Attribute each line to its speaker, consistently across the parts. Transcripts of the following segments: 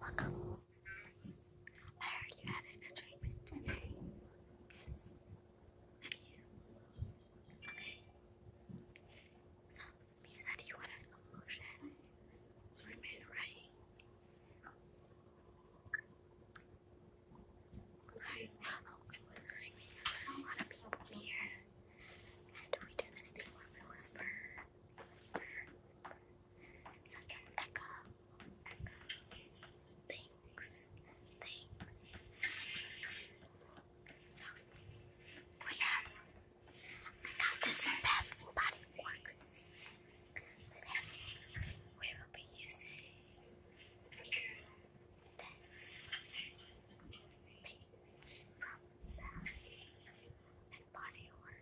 Speaker 1: Welcome. I heard you had an treatment today. Okay. So, means that you want to close your eyes. Remain right. Right. Oh, a lot of people here. And we do this thing we whisper. So again, I got this from Bath Body Works. Today, we will be using this base from and Body Works.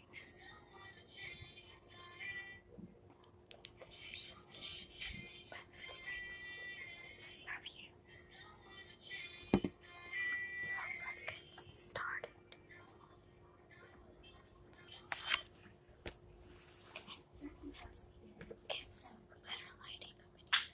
Speaker 1: Love you. So let's get started. Okay, better lighting up here.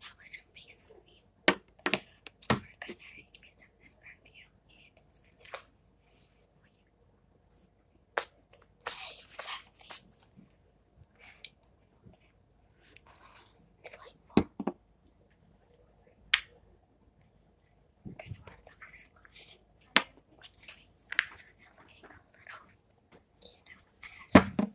Speaker 1: How was your face you? We're gonna get some of this and spend it on you. for that face. Delightful. We're going put some of this lotion on your face. It's gonna look a little, you know, ash.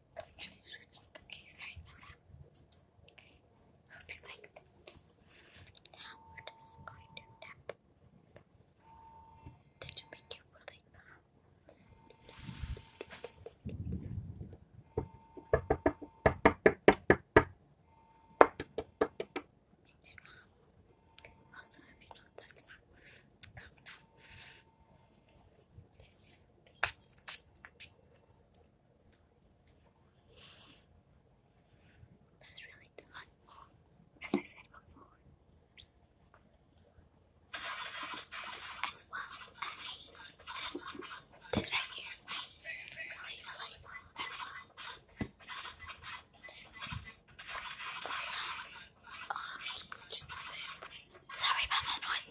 Speaker 1: Okay, sorry about that. i like this. Now we're just going to tap. Did you make it really calm? Also, if you know that's not calm enough, that's really done. As I said before. As well as this, this right here is really delightful as well. Sorry about that noise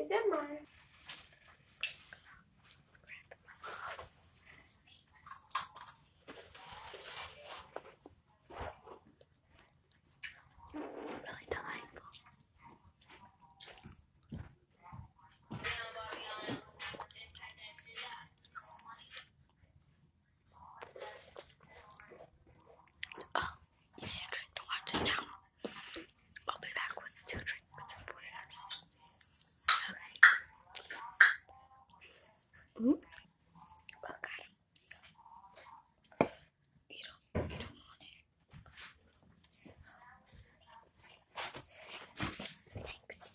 Speaker 1: Is it mine? Really delightful. Oh, you need to watch it now. I'll be back with two drinks for Alright. Ooh. Oh, got him. You don't, you don't want it. Thanks.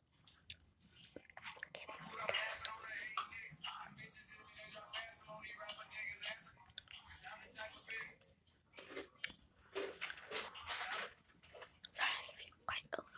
Speaker 1: Sorry, I give you quite a lot.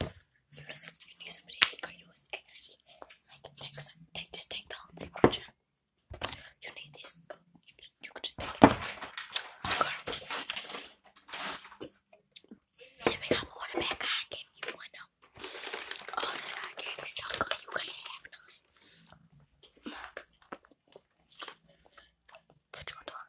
Speaker 1: If you need some, you need somebody who energy, like take take just take the whole thing, you? need this. Oh, you, could just take it. Let me come on oh, so good. You can have none. Put your dog.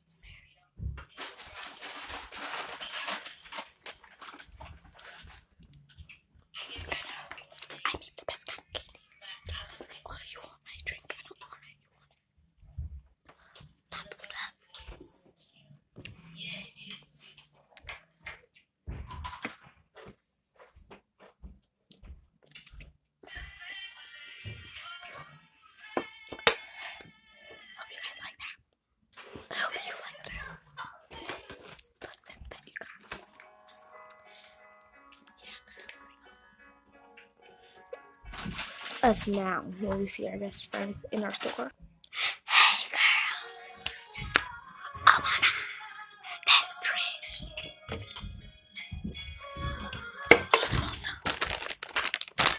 Speaker 1: I need the best kind of candy. Oh, you want my drink? I You want it? That's Hope you guys like that. I hope you like that. Listen, thank you guys. Yeah, Us now, when we see our best friends in our store. Hey, girl. Oh my god. That's Trish. Also,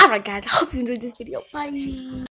Speaker 1: Alright guys, I hope you enjoyed this video. Bye.